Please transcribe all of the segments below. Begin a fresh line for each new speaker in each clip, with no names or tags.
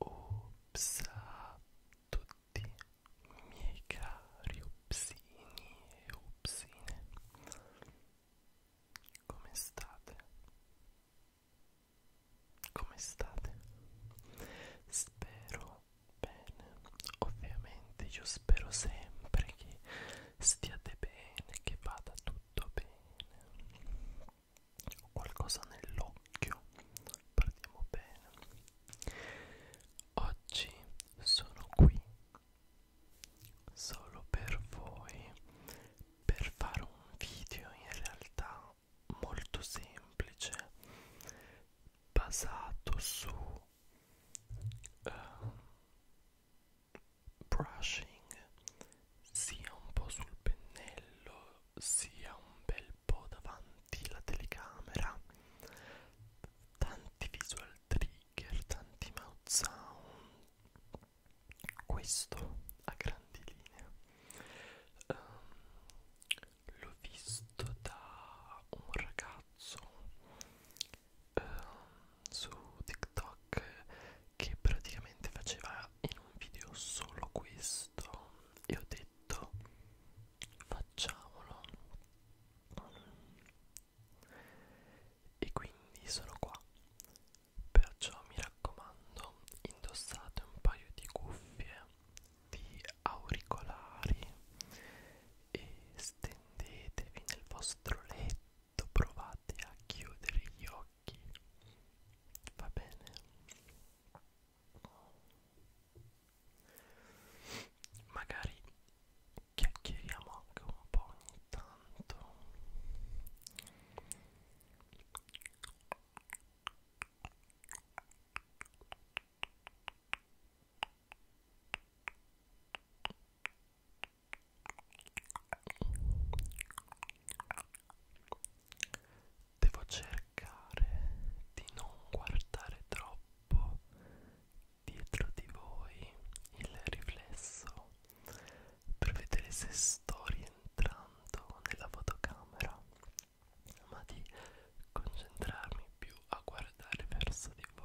Ops a tutti miei cari opsini e opsine Come state? Come state? Spero bene ovviamente io spero sempre che stiate bene che vada tutto bene ho qualcosa nell'occhio partiamo bene oggi sono qui solo per voi per fare un video in realtà molto semplice basato su uh, brushing sia un po' sul pennello sia un bel po' davanti alla telecamera tanti visual trigger tanti mouth sound questo a grandi linee um, l'ho visto da un ragazzo eh, su TikTok che praticamente faceva in un video solo questo e ho detto facciamolo e quindi sono qua perciò mi raccomando indossate un paio di cuffie di auricolari e stendetevi nel vostro letto, provate a chiudere gli occhi, va bene? Magari chiacchieriamo anche un po' ogni tanto. Devo cercare di non guardare troppo dietro di voi il riflesso per vedere se sto rientrando nella fotocamera ma di concentrarmi più a guardare verso di voi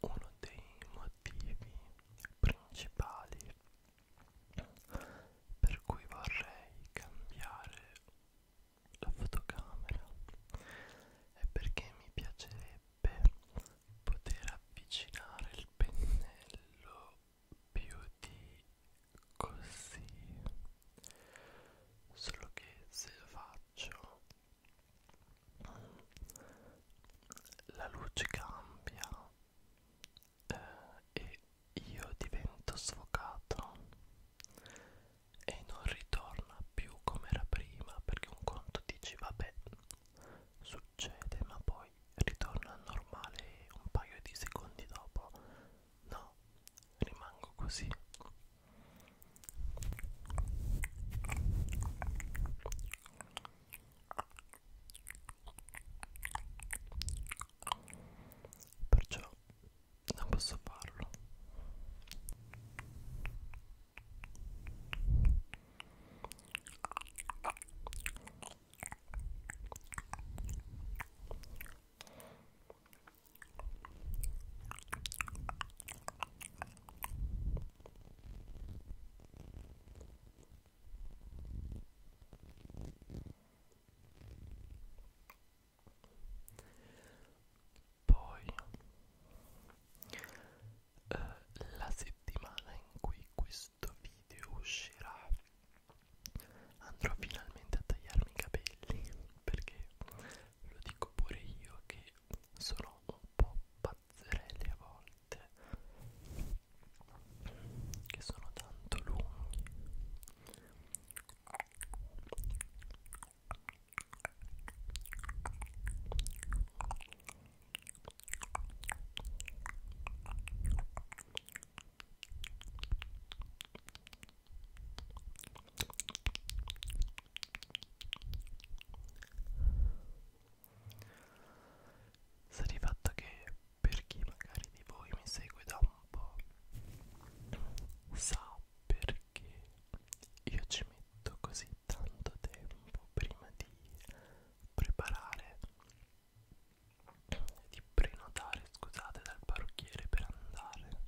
Uno dei motivi principali per cui vorrei cambiare la fotocamera è perché mi piacerebbe poter avvicinare il pennello più di così solo che se lo faccio la luce cambia eh, e io divento sfocato e non ritorna più come era prima perché un conto dici vabbè succede ma poi ritorna normale un paio di secondi dopo No, rimango così. Perciò non posso farlo. Poi eh, la settimana in cui questo video uscirà andrò finalmente a tagliarmi i capelli perché lo dico pure io che sono un po' pazzerelli a volte che sono tanto lunghi Sta di fatto che per chi magari di voi mi segue da un po' sa perché io ci metto così tanto tempo prima di preparare di prenotare, scusate, dal parrucchiere per andare.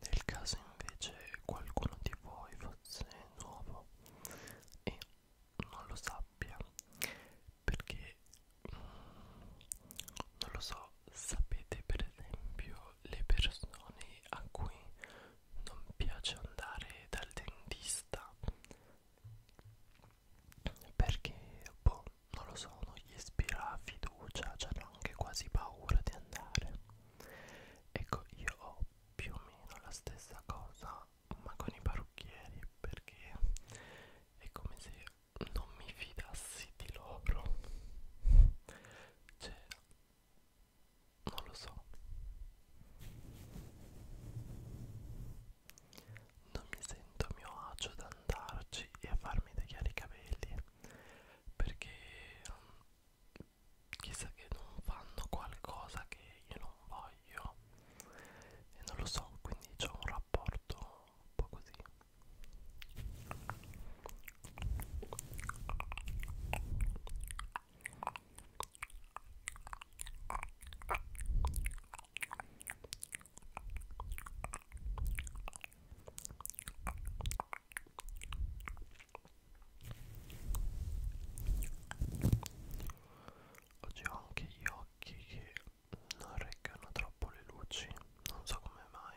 Nel caso invece qualcuno di voi fosse nuovo e non lo sappia, perché mm, non lo so, sapete per esempio le persone a cui non piace andare dal dentista perché boh non lo so non gli ispira fiducia c'è cioè anche quasi paura di andare ecco io ho più o meno la stessa cosa ma con i parrucchieri perché è come se non mi fidassi di loro cioè non lo so non mi sento a mio agio ad andarci e a farmi tagliare i capelli perché um, chissà che non fanno qualcosa che io non voglio e non lo so quindi c'è un rapporto un po' così Oggi ho anche gli occhi che non reggano troppo le luci, non so come mai.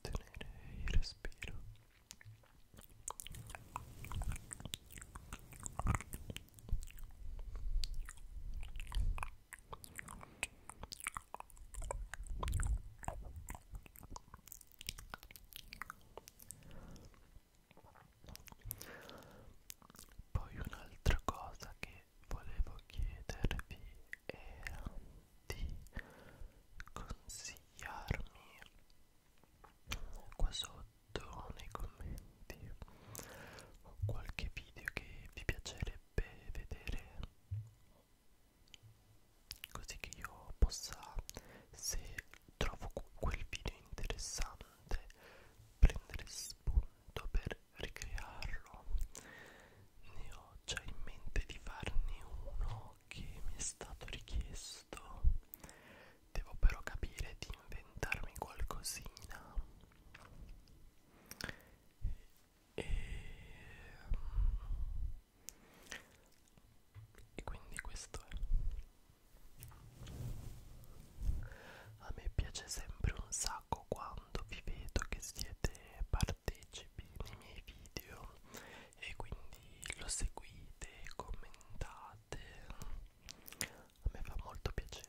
tenere il respiro poi un'altra cosa che volevo chiedervi era di consigliarmi consigliarmi qua sotto nei commenti qualche video che vi piacerebbe vedere così che io possa se trovo quel video interessante prendere spunto per ricrearlo ne ho già in mente di farne uno che mi è stato richiesto devo però capire di inventarmi qualcosina e, mm, e quindi questo è a me piace sempre un sacco quando vi vedo che siete partecipi nei miei video e quindi lo seguite, commentate, a me fa molto piacere.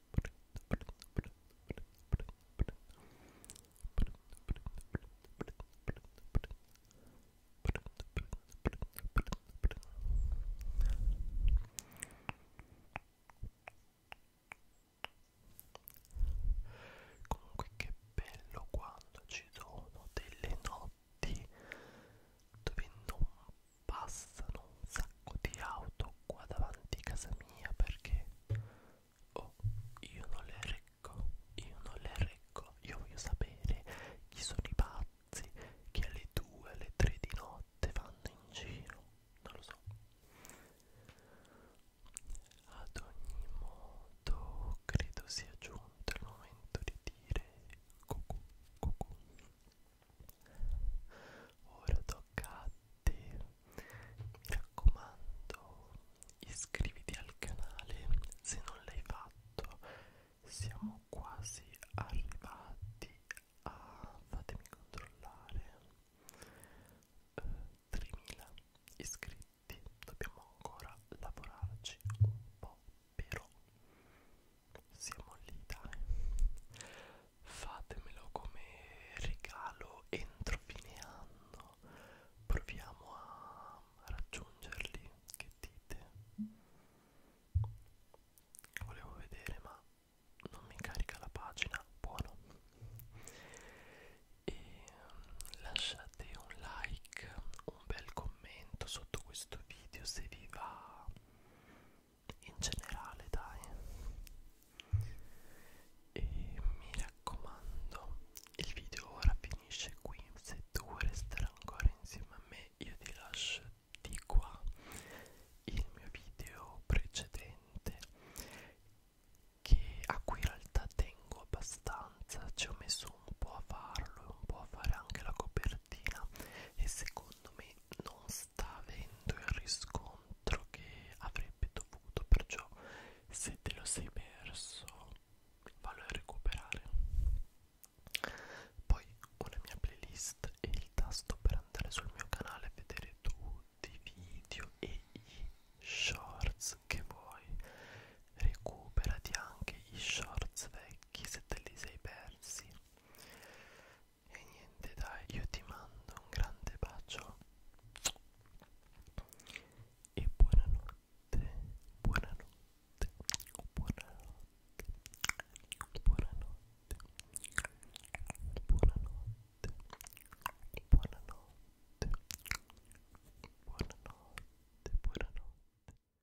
Comunque che bello quando ci sono delle notti dove non passano un sacco di auto qua davanti a casa mia perché oh, io non le reggo, io non le reggo, io voglio sapere chi sono i pazzi che alle 2, alle 3 di notte vanno in giro, non lo so. Ad ogni modo credo sia giunto il momento di dire cucù, cucù. Ora tocca a te. Mi raccomando, iscriviti al canale se non l'hai fatto. Siamo quasi arrivati a fatemi controllare. Eh, 3000 iscritti. Dobbiamo ancora lavorarci un po', però siamo lì dai fatemelo come regalo entro fine anno proviamo a raggiungerli che dite volevo vedere ma non mi carica la pagina buono e mm, lasciate un like un bel commento sotto questo video se vi va in generale dai e mi raccomando il video ora finisce qui se tu vuoi restare ancora insieme a me io ti lascio di qua il mio video precedente che a cui in realtà tengo abbastanza ci ho messo un po' a farlo un po' a fare anche la copertina e secondo secondo me non sta avendo il riscontro che avrebbe dovuto perciò se te lo sei perso vallo a recuperare poi una mia playlist e il tasto per andare sul mio canale e vedere tutti i video e i shorts che vuoi recuperati anche i shorts vecchi se te li sei persi e niente dai io ti mando un grande bacio e buonanotte buonanotte buonanotte buonanotte buonanotte buonanotte buonanotte buonanotte